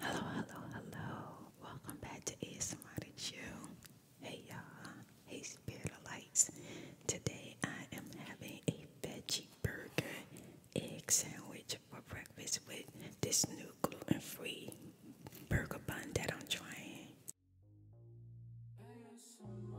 Hello, hello, hello. Welcome back to ASMR Show. Hey y'all. Hey Spirit of Lights. Today I am having a veggie burger egg sandwich for breakfast with this new gluten-free burger bun that I'm trying. ASMR.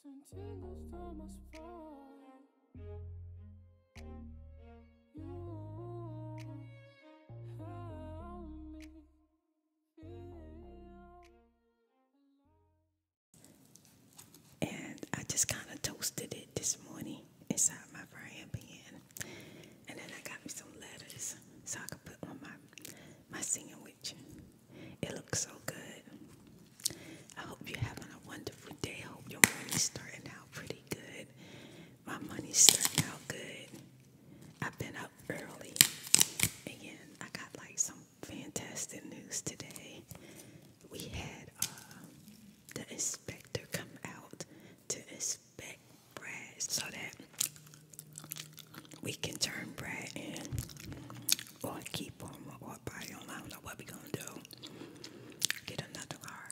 Sentindo estou mais forte. And I just kind of toasted it this morning inside my frying pan, and then I got me some lettuce so I could put on my my sandwich. It looks so good. I hope you're having a wonderful day. hope your money's starting out pretty good. My money's starting out good. I've been up early and I got like some fantastic news today. We had uh, the inspector come out to inspect Brad so that we can turn bread in or keep them or buy them. I don't know what we're going to do. Get another car.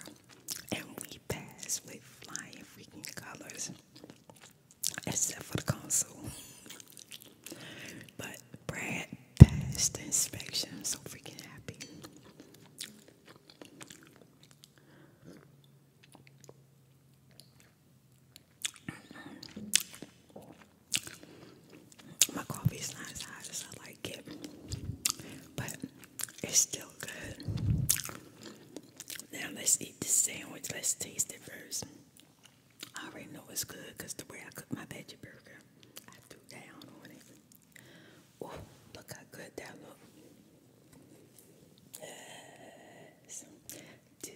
And we pass with flying freaking colors. Except for the consul. But Brad passed the inspection. I'm so freaking happy. My coffee's not as hot as I like it, but it's still good. Now let's eat the sandwich. Let's taste it first. I already know it's good because the way I cook my veggie burger, I threw down on it. Oh, look how good that look. Yes. Two,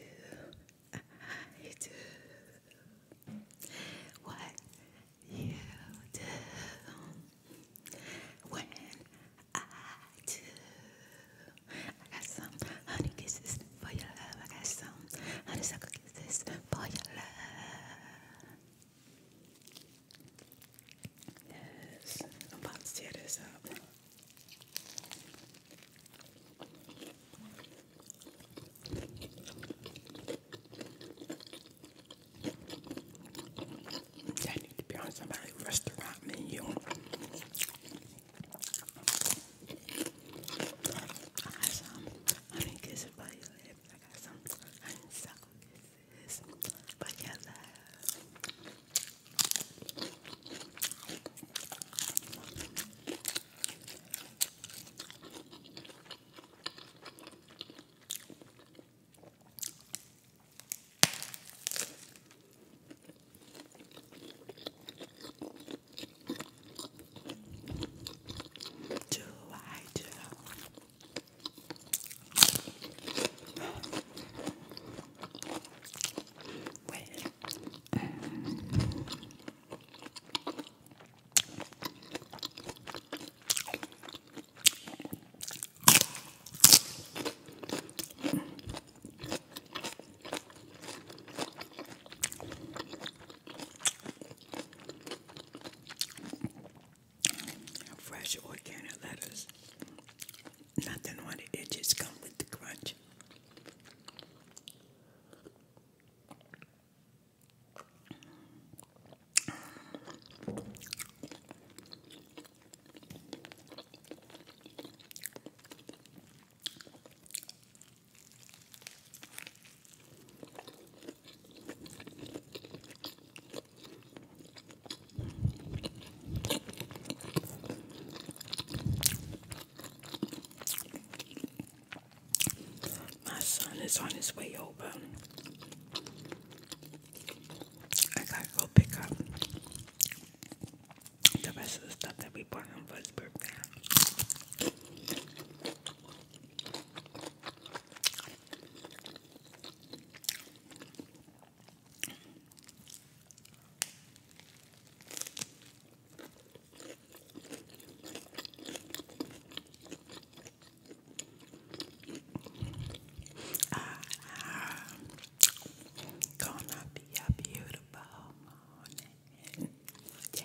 I do what you do when I do. I got some honey kisses for your love. I got some honeysuckle kisses for your love. Yes, I'm about to tear this up. That need to be on somebody's restaurant menu. I got some honey kisses for your lips. I got some honeysuckle kisses for your love. Do I do? Wait. Fresh organic lettuce nothing on the It just come with the crunch. My son is on his way over. I gotta go pick up the rest of the stuff that we bought him for Ah, gonna be a beautiful morning. Yeah.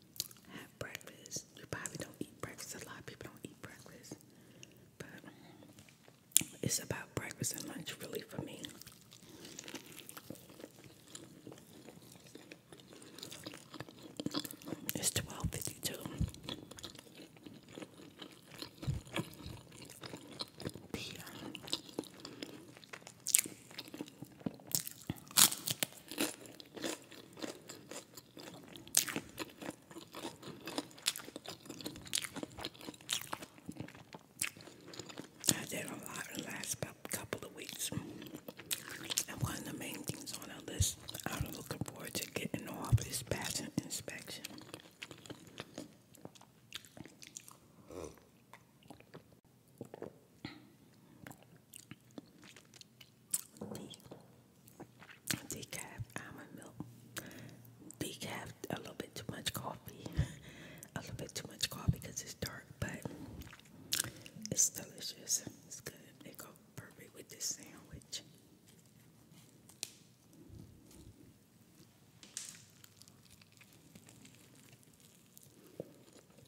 have breakfast. We probably don't eat breakfast. A lot of people don't eat breakfast, but um, it's about breakfast and lunch, really, for me. It's twelve fifty two. I did a lot in the last couple of weeks. And one of the main things on our list I'm looking forward to getting off is patent inspection. Hmm decaf almond milk, decaf a little bit too much coffee, a little bit too much coffee because it's dark, but it's delicious. It's good. It goes perfect with this sandwich.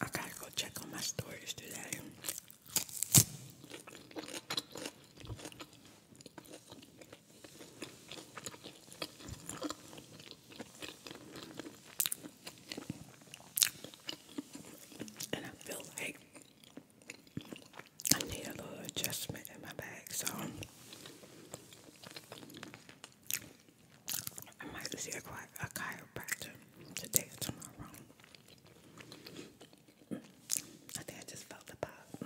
I gotta go check on my stories today. And I feel like I need a little adjustment in my bag, so I might see a, a, a today or tomorrow. I think I just felt the pop.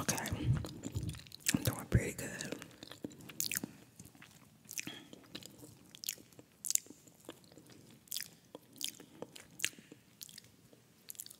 Okay, I'm doing pretty good.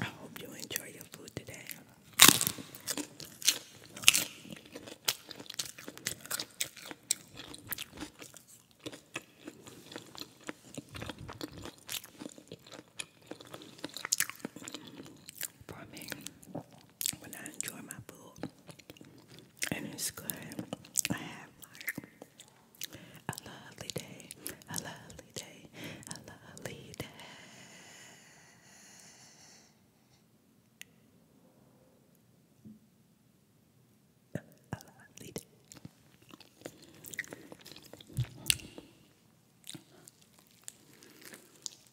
I hope you enjoy your food today. For when I enjoy my food. And it's good. I have like a lovely day, a lovely day, a lovely day. A lovely day.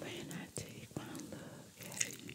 When I take one look at you,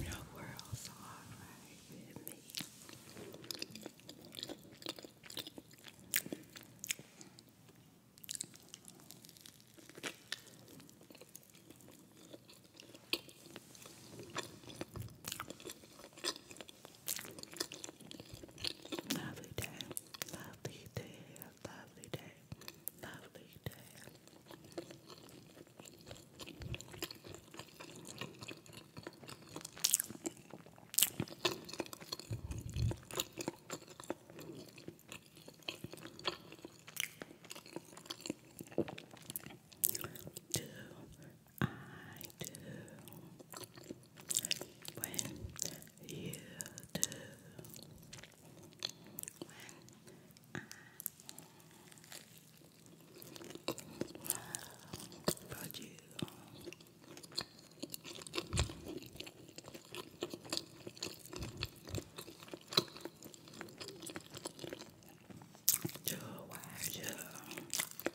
Your world's alright with me. Lovely Lovely day, lovely day, lovely day. Do I do? when you do, when I brought you. To watch you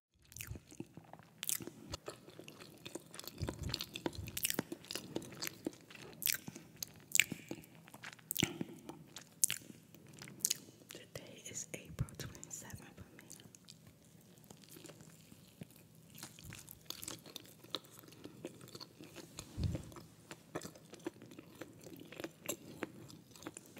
Today is April 27th for me.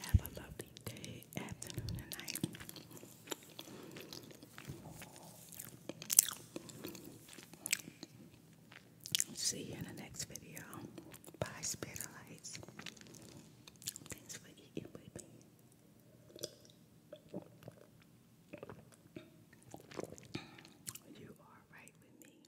Have a lovely day, afternoon, and night. See you in the next video. Bye, Spitalites. Thanks for eating with me. You are right with me.